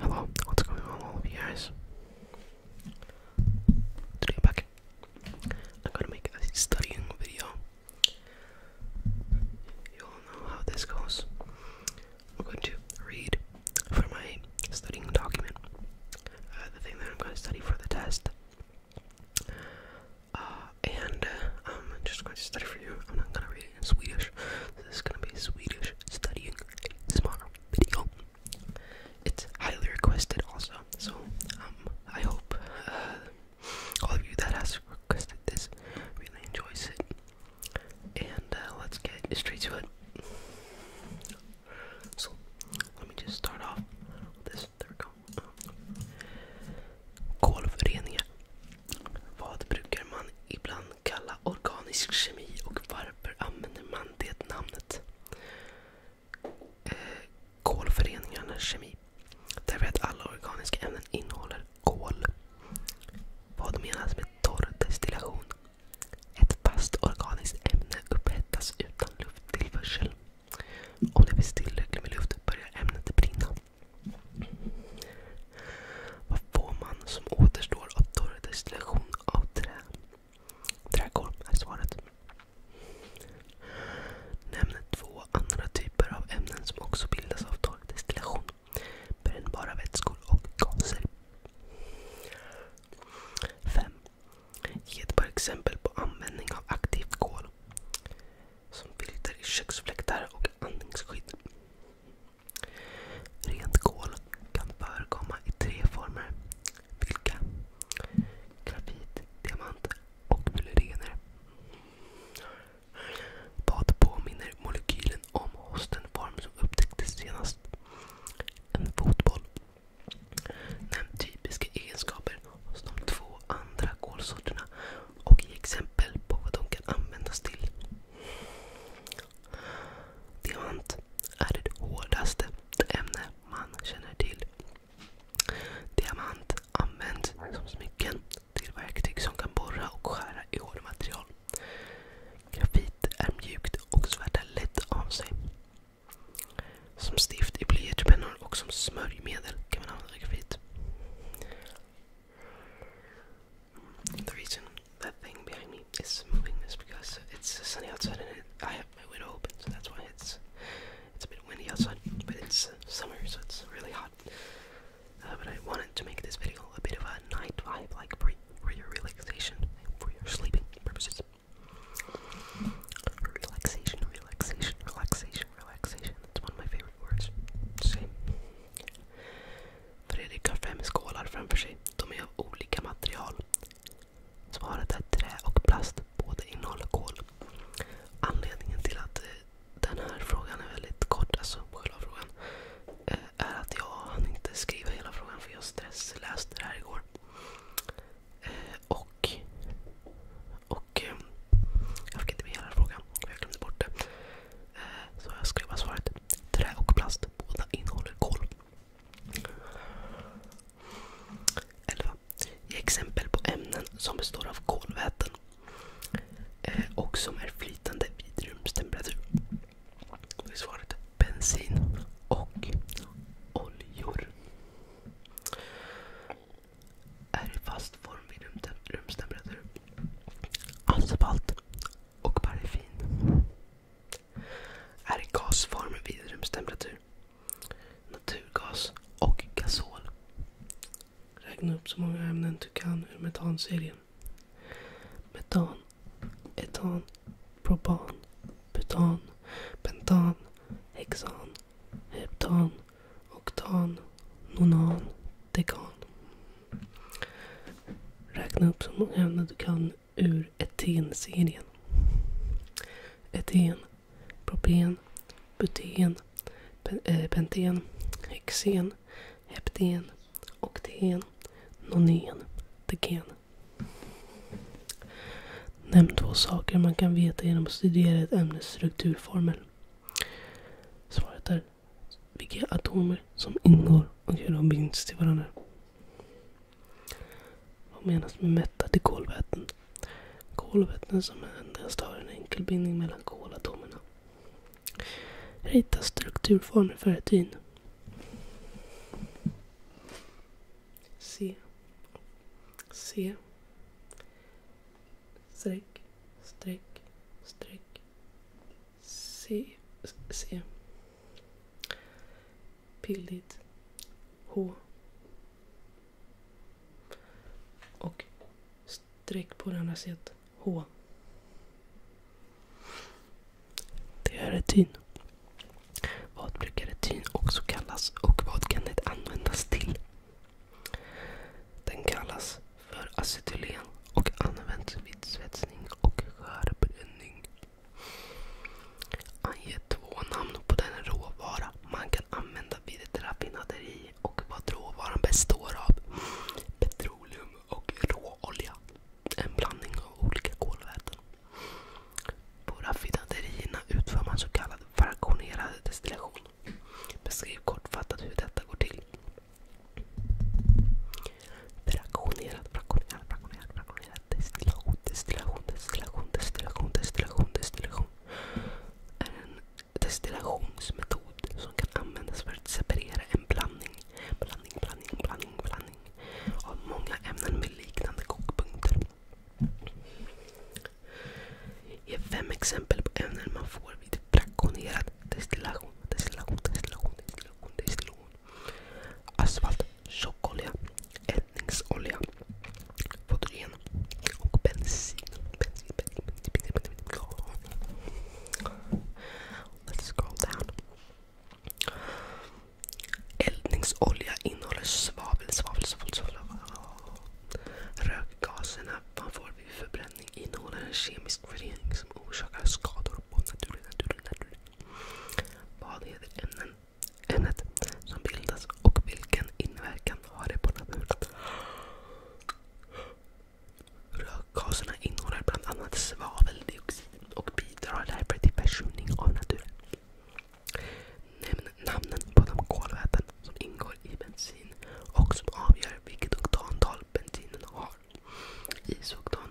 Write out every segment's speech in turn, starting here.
Hello, what's going on all of you guys? Today back. I'm gonna make a studying video. You all know how this goes. I'm going to read for my studying document uh, the thing that I'm going to study for the test. Uh, and uh, I'm just going to study for you. I'm not going to read studying Swedish. This is gonna be Swedish studying smaller video. It's highly requested also, so um, I hope uh, all of you that has requested this really enjoys it. And uh, let's get straight to it. So let me just start off this. There we go. Kolvrenja Vad brukar man ibland kalla organisk kemi och varför använder man det namnet? Eh, kolföreningarnas kemi. Därför att alla organiska ämnen innehåller kol. Vad menas med torr destillation? Ett fast organiskt ämne upphettas utan lufttillförsel. Om det finns tillräckligt med luft börjar ämnet brinna. Vad får man som återstår av torr destillation av trä? Träkol är svaret. Nämn två andra typer av ämnen som också bildas av torr destillation. Brännbara vätskor och gaser. 5. Ge ett par exempel på användning av aktivt kol. Som filter i köksfläktar och andningsskydd. Rent kol kan förekomma i tre former. Vilka? Grafit, diamant och myllerener. Vad påminner molekylen om hos den form som upptäcktes senast? En fotboll. Nämn typiska egenskaper hos de två andra kolsorterna och ge exempel på vad de kan användas till. Diamant är det hårdaste ämne man känner till. Diamant används som smycken till verktyg som kan borra och skära i material. Grafit är mjukt och svärtar lätt av sig. Som stift i blyertspennor och som smörjmedel kan man använda grafit. The reason that thing behind me is moving is because it's sunny outside and I have my window open, so that's why it's it's a bit windy outside. But it's uh, summer, so it's really hot. Uh, but I wanted to make this video a bit of a night vibe, like for, your relaxation, for your sleeping purposes. Relaxation, relaxation, relaxation, relaxation. That's one of my favorite words. Same. Fredrik har fem skålar framför sig. De är av olika material. Svaret är trä och plast. Båda innehåller kol. Anledningen till att eh, den här frågan är väldigt kort, alltså själva frågan, eh, är att jag hann inte skriva hela frågan för jag stressläste det här igår. Eh, och, jag fick inte med hela frågan. Jag glömde bort det. Så jag skrev bara svaret. Trä och plast. Båda innehåller kol. 11. Ge exempel på ämnen som består av kolväten eh, och som är flytande vid rumstemperatur. Det är svaret bensin och oljor. Är i fast form vid rumstemperatur. Asfalt och paraffin. Är i gasform vid rumstemperatur. Naturgas och gasol. Räkna upp så många ämnen du kan ur metanserien. Metan, etan, propan, butan, pentan, hexan, heptan, oktan, nonan, dekan. Räkna upp så många ämnen du kan ur eten-serien. Eten, propen, buten, eh, penten, hexen, hepten, okten, nonen, teken. Nämn två saker man kan veta genom att studera ett ämnes strukturformel. Svaret är vilka atomer som ingår och hur de binds till varandra. Vad menas med mättade kolväten? Kolväten som endast har en enkel bindning mellan kolatomerna. Rita strukturformer för etin. C. C. Streck, streck, streck, C. C. Pilligt. H. Och streck på det andra sidan. H. Det är retin. Vad brukar retin också kallas och vad kan det användas till? Den kallas för acetylen och används vid svetsning och skärbränning. Ange två namn på den råvara man kan använda vid ett raffinaderi och vad råvaran består av. Petroleum och råolja. En blandning av olika kolväten. På raffinaderierna utför man så kallad fraktionerad destillation. Beskriv kortfattat hur detta går till. Brakonerad, brakonerad, brakonerad, brakonerad. Destillation, destillation, destillation, destillation, destillation, destillation. Är en destillationsmetod som kan användas för att separera en blandning. Blandning, blandning, blandning, blandning. Av många ämnen med liknande kokpunkter. Ge fem exempel på ämnen man får vid brakonerad destillation. Destillation, destillation, Asfalt, tjockolja, eldningsolja, fotogen och bensin. Let's scroll down. Eldningsolja innehåller svavel, svavel, svavel, svavel. Rökgaserna Vad får vid förbränning Honung innehåller en kemisk förening som orsakar skador på naturen. naturen, naturen. Vad heter ämnen, ämnet som bildas och vilken inverkan har det på naturen? Rökgaserna innehåller bland annat svaveldioxid och bidrar därför till försurning av naturen. Nämn namnen på de kolväten som ingår i bensin och som avgör vilket oktantal bensinen har. Isoktan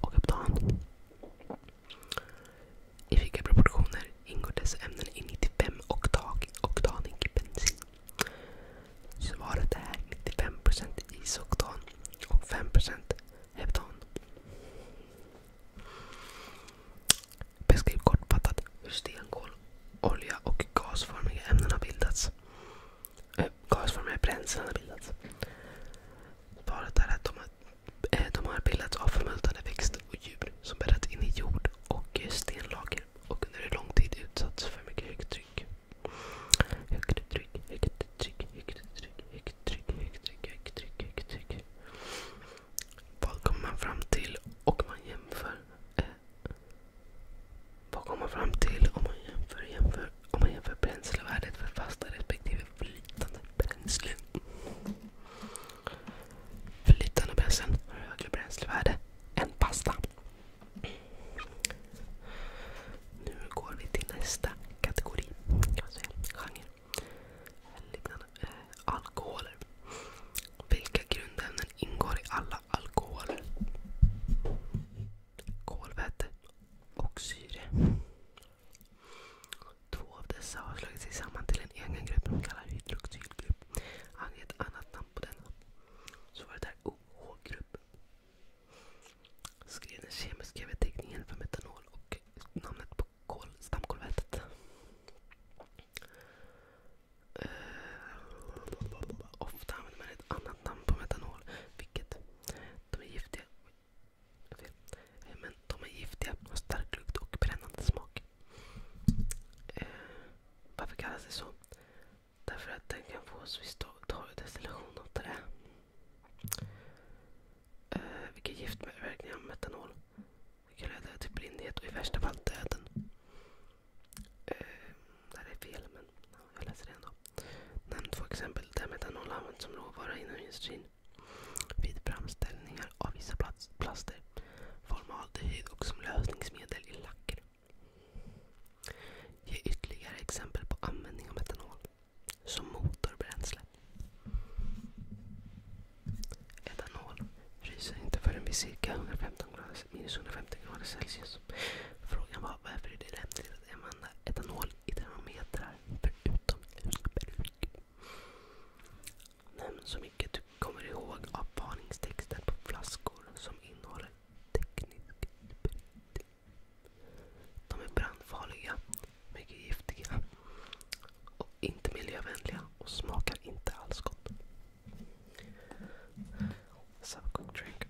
och oktan. I vilka proportioner ingår dessa ämnen i 95 oktan, oktanig bensin? Svaret är 95% isoktan och 5% heptan. Beskriv kortfattat hur stenkol, olja och gasformiga ämnen har bildats gasformiga bränslen har bildats. Svaret är att de har, eh, de har bildats av förmultnade växter och djur som bäddats in i jord och eh, stenlager och under en lång tid utsatts för mycket högt tryck. Högt tryck, högt tryck, högt tryck, högt tryck, högt tryck, högt tryck, högt tryck. Vad kommer man fram till och man jämför eh, vad kommer man fram till om man jämför, jämför, om man jämför bränslevärdet för fasta respektive flytande bränslen? Flytande bränslen har högre bränslevärde än pasta. Nu går vi till nästa kategori. Kan man genre. alkoholer. Vilka grundämnen ingår i alla alkoholer? kolväte och syre. Två av dessa har slagit sig samman till en egen grupp de kallar hydroxylgrupp. Ange ett annat namn på denna. Så var det där OH-grupp. Skrev den kemiska beteckningen för metanol och namnet på kol, stamkolvätet. Uh, ofta använder man ett annat ettan på metanol, vilket de är giftiga. har stark lukt och brännande smak. Eh, varför kallas det så? Därför att den kan fås vid torrdestillation av trä. Eh, vilka giftverkningar av metanol. Det kan leda till blindhet och i värsta fall döden. Eh, det här är fel, men jag läser det ändå. Nämn två exempel där metanol används som råvara inom industrin. Vid framställningar av vissa plaster, formaldehyd och som lösningsmedel i lacker. Ge ytterligare exempel på användning av metanol som motorbränsle. Etanol fryser inte förrän vid cirka 115 grader minus 150 grader Celsius. Frågan var varför är det lämpligt att använda etanol i termometrar förutom elbruk? Nämn så mycket du kommer ihåg av varningstexten på flaskor som innehåller teknisk sprit. De är brandfarliga, mycket giftiga och inte miljövänliga och smakar inte alls gott. Subcook drink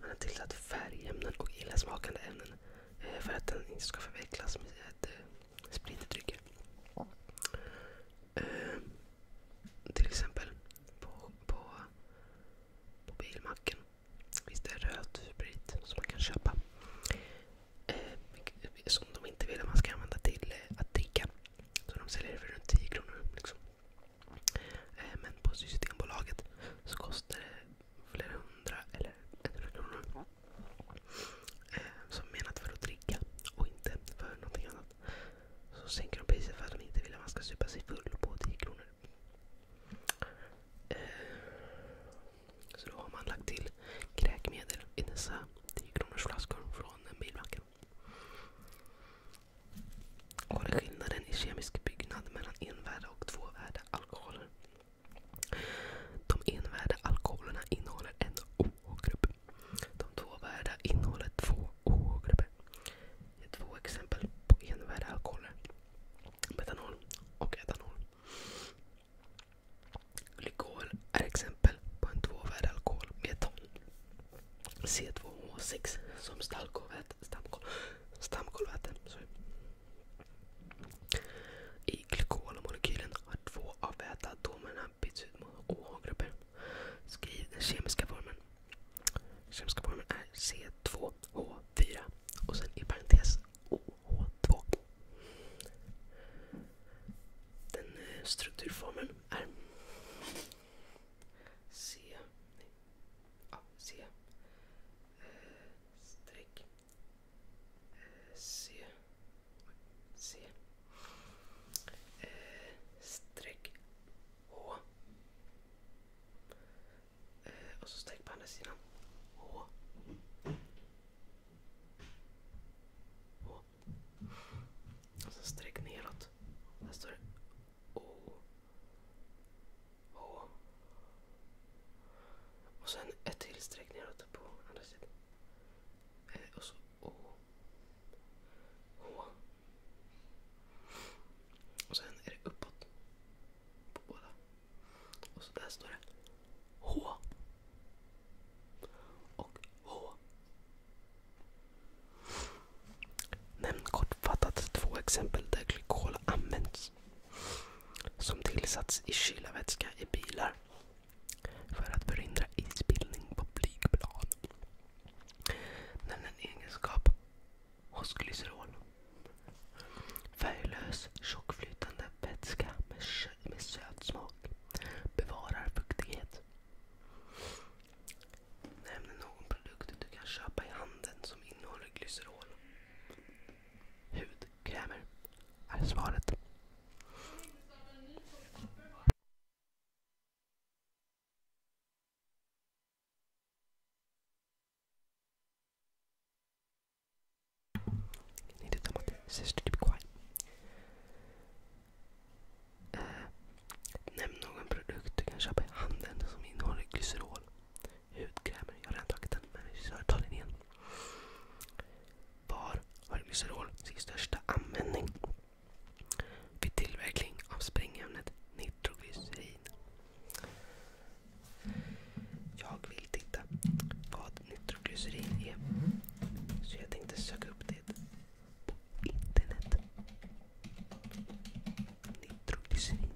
Han har tillsatt färgämnen och illasmakande ämnen eh, för att den inte ska förväxlas med eh, spritdrycker. Ehm, uh, till exempel på, på, på bilmacken finns det röd sprit som man kan köpa. Eh, som de inte vill att man ska använda till att dricka. Så de säljer det för runt 10 kronor. Liksom. men på Systembolaget så kostar det flera hundra eller hundra kronor. Eh, som menat för att dricka och inte för någonting annat. Så sänker de priset för att de inte vill att man ska supa sig full på 10 kronor. Eh, så då har man lagt till kräkmedel i dessa 10 kronors flaskor från bilbacken och är skillnaden i kemisk byggnad mellan envärda och tvåvärda alkoholer. De envärda alkoholerna innehåller en OH-grupp. De tvåvärda innehåller två OH-grupper. Det är två exempel på envärda alkoholer. Metanol och etanol. Glykol är exempel på en tvåvärd alkohol, metan. C2H6 som stamkolväte. Stamkol, stamkolväte sorry. I glykolmolekylen har två av väteatomerna bytts ut mot OH-grupper. Skriv den kemiska formeln. Kemiska formeln är C2H4 och sen i parentes OH2. Den eh, strukturformeln är C... Nej, ja, C streck C. C. Eh, streck H. Eh, och så streck på andra sidan. H. Och så streck neråt. Där står det O. H. Och sen ett till streck neråt på andra sidan. Eh, och så O. H. Och sen är det uppåt på båda. Och så där står det H. Och H. Nämn kortfattat två exempel där glykol används som tillsatts i kylarvätska i bilar för att förhindra isbildning på flygplan. Nämn en egenskap hos glycerol. Färglös, tjockflytande vätska med, med söt smak. Bevarar fuktighet. Nämn någon produkt du kan köpa i handeln som innehåller glycerol. Hudkrämer är svaret. Typ eh, nämn någon produkt du kan köpa i handeln som innehåller glycerol hudkrämer. Jag har redan tagit den men vi jag ta den igen. Var har glycerol sin största användning? Vid tillverkning av sprängämnet nitroglycerin. Jag vill titta vad nitroglycerin är. Så jag tänkte söka upp det på internet. Nitroglycerin.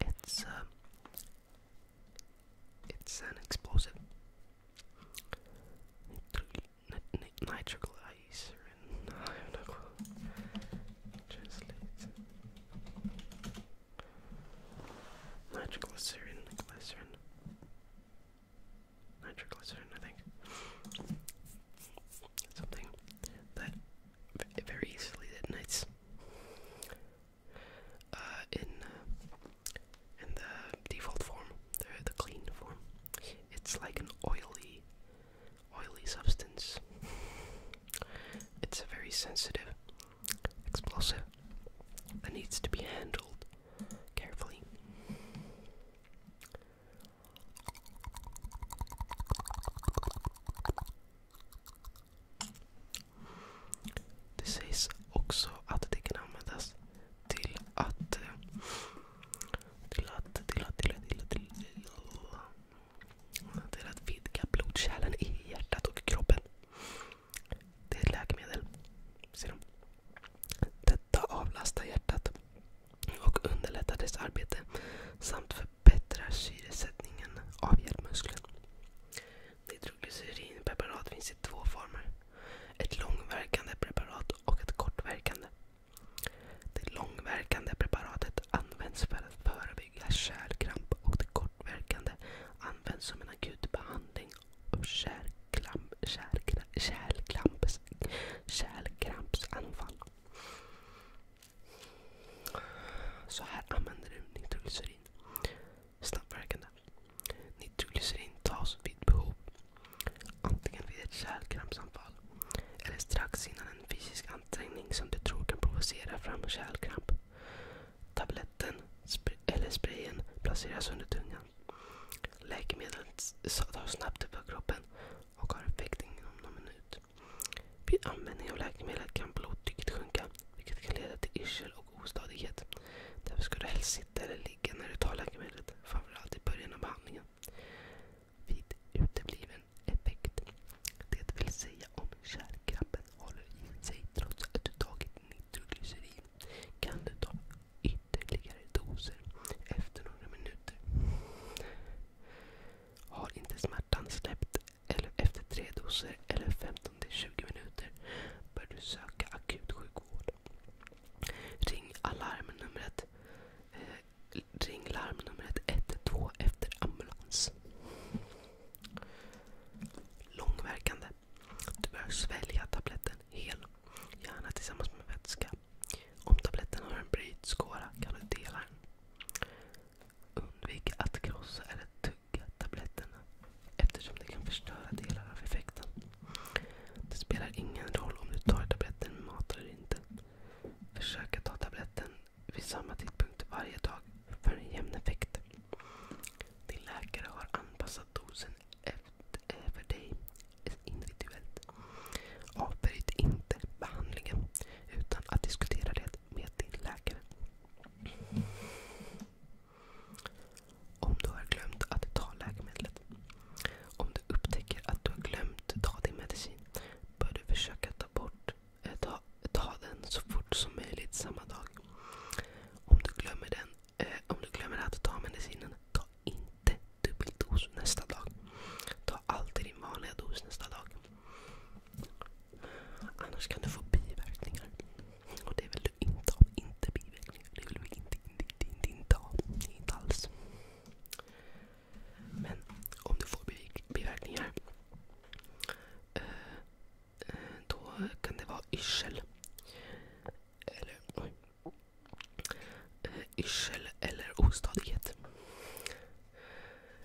It's uh, it's an explosive. Nitroglycerin. No, I have no glycerin nitroglycerin, I think. Something that very easily ignites. Uh, in uh, in the default form, the, clean form, it's like an oily, oily substance. It's a very sensitive explosive that needs to be handled carefully. Det sägs också att det kan användas till att... Eh, till att... Till att... Till att... Till att, till att, till att vidga blodkärlen i hjärtat och kroppen. Det är ett läkemedel. Ser de? Detta avlastar hjärtat och underlättar dess arbete samt förbättrar syresättningen av hjärtmuskeln. Nitroglycerinpreparat finns i två former. Ett långverkande preparat och ett kortverkande. Det långverkande preparatet används för att förebygga kärlkramp och det kortverkande används som en akut behandling av kärlkramp. Kärklamp, kärlkrampsanfall. Så här använder du nitroglycerin. Snabbverkande. Nitroglycerin tas vid behov. Antingen vid ett kärlkrampsanfall eller strax innan en fysisk ansträngning som du tror kan provocera fram kärlkramp. Tabletten spr eller sprayen placeras under tungan. Läkemedlet tar snabbt upp kroppen och har effekt inom någon minut. Vid användning av läkemedlet kan blodtrycket sjunka vilket kan leda till yrsel och ostadighet. Därför ska du helst sitta eller ligga när du tar läkemedlet, framförallt i början av behandlingen. Vid utebliven effekt, det vill säga om kärlkrabben håller i sig trots att du tagit nitroglycerin, kan du ta ytterligare doser efter några minuter. Har inte smärtan släppt eller efter tre doser eller 15-20 minuter bör du söka akut sjukvård. Ring alarmnumret eh, Ring larmnumret 112 efter ambulans. Långverkande. Du bör svälja tabletten hel, gärna tillsammans med vätska. Om tabletten har en brytskåra kan du dela den. Undvik att krossa eller tugga tabletterna eftersom det kan förstöra delar av effekten. Det spelar ingen roll om du tar tabletten med mat eller inte. Försök att ta tabletten vid samma tidpunkt varje dag för en jämn effekt. Din läkare har anpassat dosen för dig individuellt. Avbryt inte behandlingen utan att diskutera det med din läkare. Om du har glömt att ta läkemedlet. Om du upptäcker att du har glömt ta din medicin bör du försöka ta, eh, den så fort som möjligt samma dag. Om du glömmer den Eh, om du glömmer att ta medicinen, ta inte dubbeldos nästa dag. Ta alltid din vanliga dos nästa dag. Annars kan du få biverkningar. Och det vill du inte ha. Inte biverkningar. Det vill vi inte, inte, inte, inte, inte ha. Inte alls. Men om du får biverkningar eh, eh, då kan det vara yrsel. Eller oj, yrsel eller ostadighet.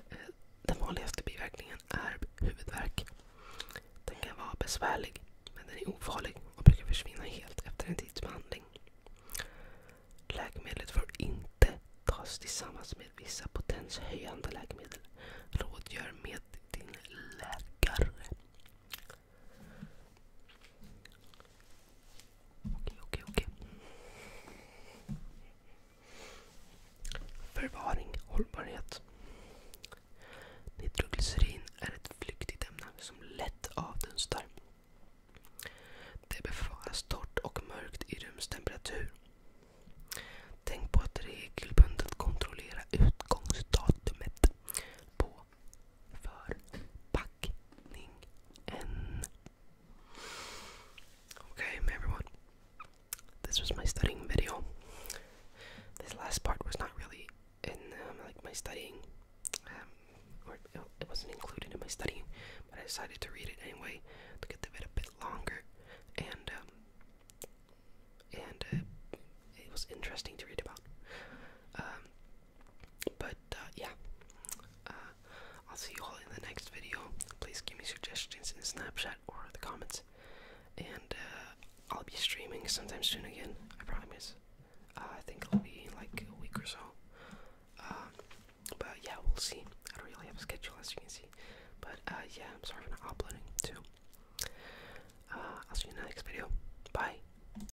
Eh, den vanligaste biverkningen är huvudvärk. Den kan vara besvärlig, men den är ofarlig och brukar försvinna helt efter en tids behandling. Läkemedlet får inte tas tillsammans med vissa potenshöjande läkemedel. Rådgör med din läkare. Okej, okej, okej. Förvaring, hållbarhet. Nitroglycerin är ett flyktigt ämne som lätt avdunstar. Det bevaras torrt och mörkt i rumstemperatur. Tänk på att regelbundet kontrollera utgångsdatumet på Okay, everyone. This was my studying video. This last part was not really in um, like my studying, um, or it wasn't included in my studying, but I decided to read it anyway to get the bit a bit longer, and um, and uh, it was interesting to read about. But uh, yeah, uh, I'll see you all in the next video. Please give me suggestions in Snapchat or the comments, and uh, I'll be streaming sometime soon again. I promise. Uh, I think it'll be like a week or so. Um, but yeah, we'll see. I don't really have a schedule as you can see. But yeah, I'm sorry for not uploading too. I'll see you in the next video. Bye.